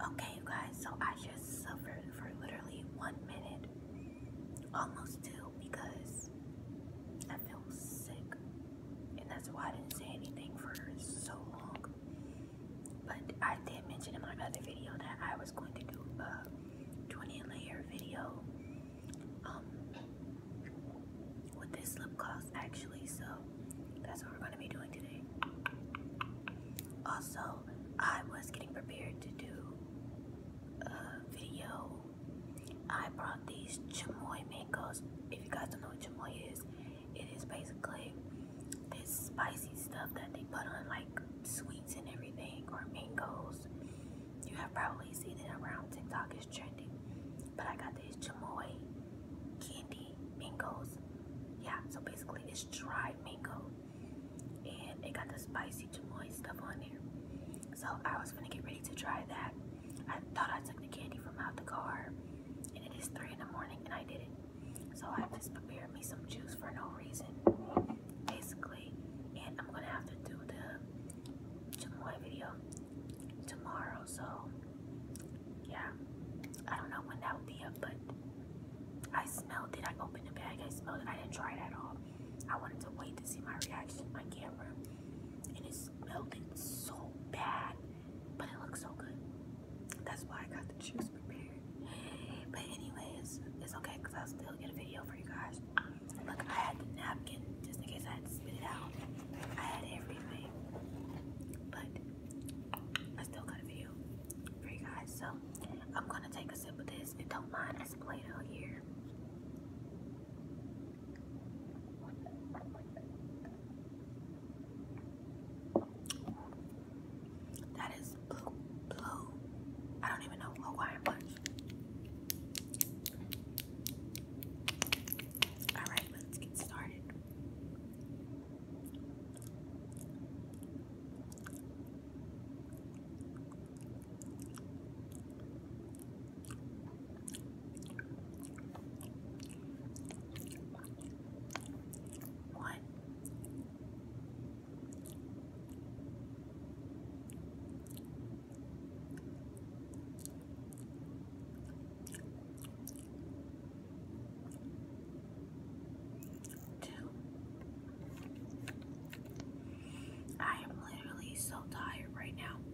Okay, you guys, so I just suffered for literally one minute, almost two, because I feel sick, and that's why I didn't say anything for so long. But I did mention in my other video that I was going to do a 20 layer video um, with this lip gloss actually. So that's what we're going to be doing today. Also, I was getting prepared to do a video. I brought these chamoy mangoes. If you guys don't know what chamoy is, it is basically this spicy stuff that they put on like sweets and everything or mangoes. You have probably seen it around TikTok, is trending. But I got this chamoy candy mangoes. Yeah, so basically it's dried mango. And it got the spicy chamoy stuff on there. So I was gonna get ready to try that. I thought I took the candy from out the car and it is three in the morning and I did it. So I just prepared me some juice for no reason, basically. And I'm gonna have to do the chamoy video tomorrow. So yeah, I don't know when that will be up, but I smelled it. I opened the bag. I smelled it. I didn't try it at all. I wanted to wait to see my reaction, my camera, and it smelled so bad but it looks so good. That's why I got the juice prepared. But anyways, it's okay because I'll still get a video for you guys. Look, I had the napkin just in case I had spit it out. I had everything. But I still got a video for you guys. So I'm gonna take a sip of this. And don't mind this play out here. That is blue, blue. I don't even know Hawaiian All right, let's get started. One. Two. I am literally so tired right now.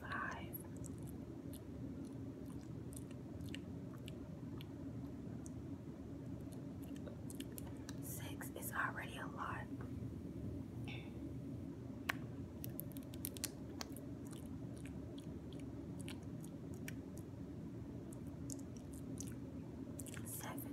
Five. Six is already a lot. Seven.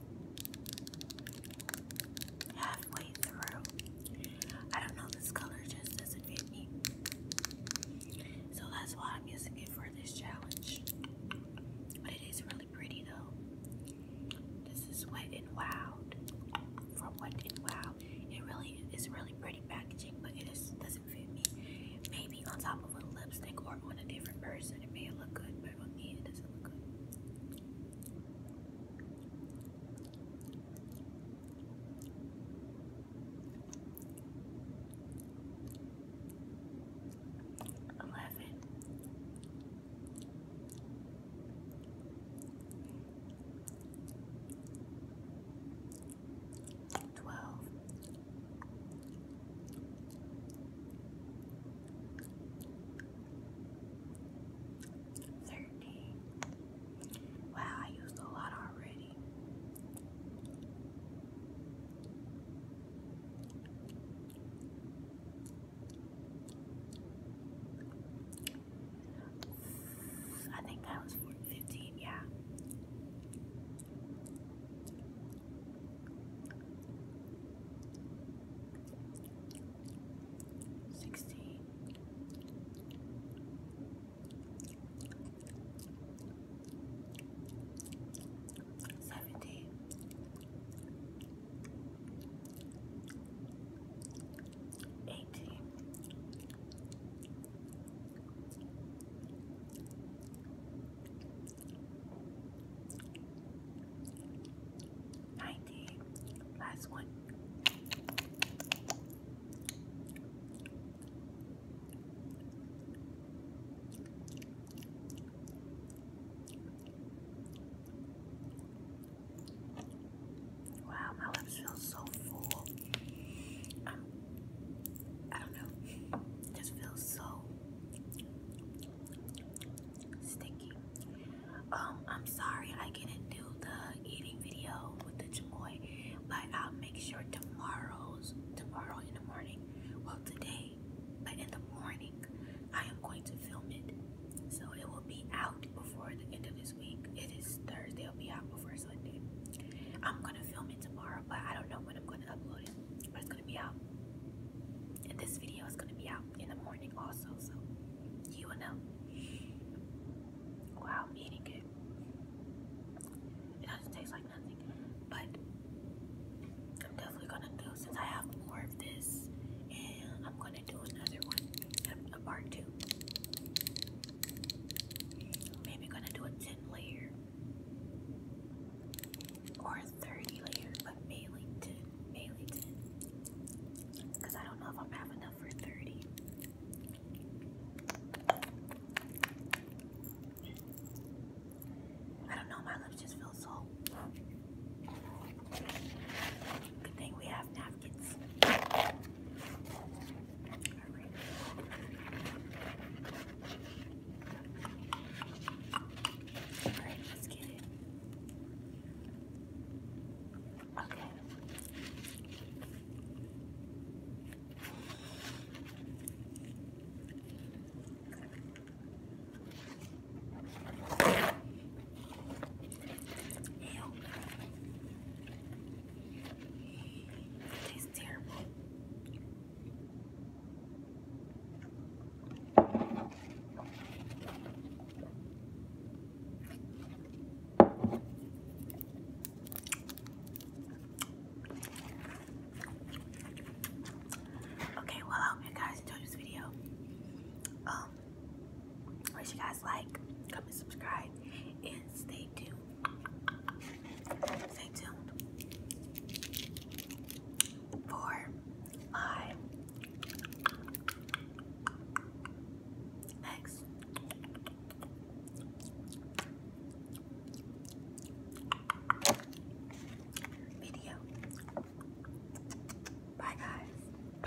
halfway through. I don't know, this color just doesn't fit me. So that's why I'm using it for this challenge. But it is really pretty though. This is Wet and Wild. From Wet and Wild. It really is really pretty packaging, but it just doesn't fit me. Maybe on top of a lipstick or on a different person, it may look good it doesn't look good. Eleven. Twelve. Thirty. Wow, I used a lot already. I think that was 15, yeah. Sixteen. Seventeen. 90. Last one. Wow, my lips feel so full. I don't know. It just feels so sticky. Um, I'm sorry I didn't do the eating video with the chamoy, but I'll make sure tomorrow's tomorrow in the morning. Well, today, but in the morning, I am going to film it. So it will be out before the end of this week. It is Thursday. It'll be out before I'm gonna film it tomorrow, but I don't know when I'm gonna upload it. But it's gonna be out. And this video is gonna be out in the morning also, so you will know. Wow, eating it. It doesn't taste like nothing. But I'm definitely gonna do since I have more of this and I'm gonna do another one. A part two. Maybe gonna do a 10 layer or a 30 layer, but mainly 10, mainly 10. Because I don't know if I'm having enough for 30. I don't know, my lips just feel so. Good thing we have now pockets. Alright. let's get it. Okay. Ew. It terrible. Okay, well I hope you guys enjoyed this video. Um, Wish you guys like, Come and subscribe, and stay tuned. Stay tuned for my next video. Bye guys.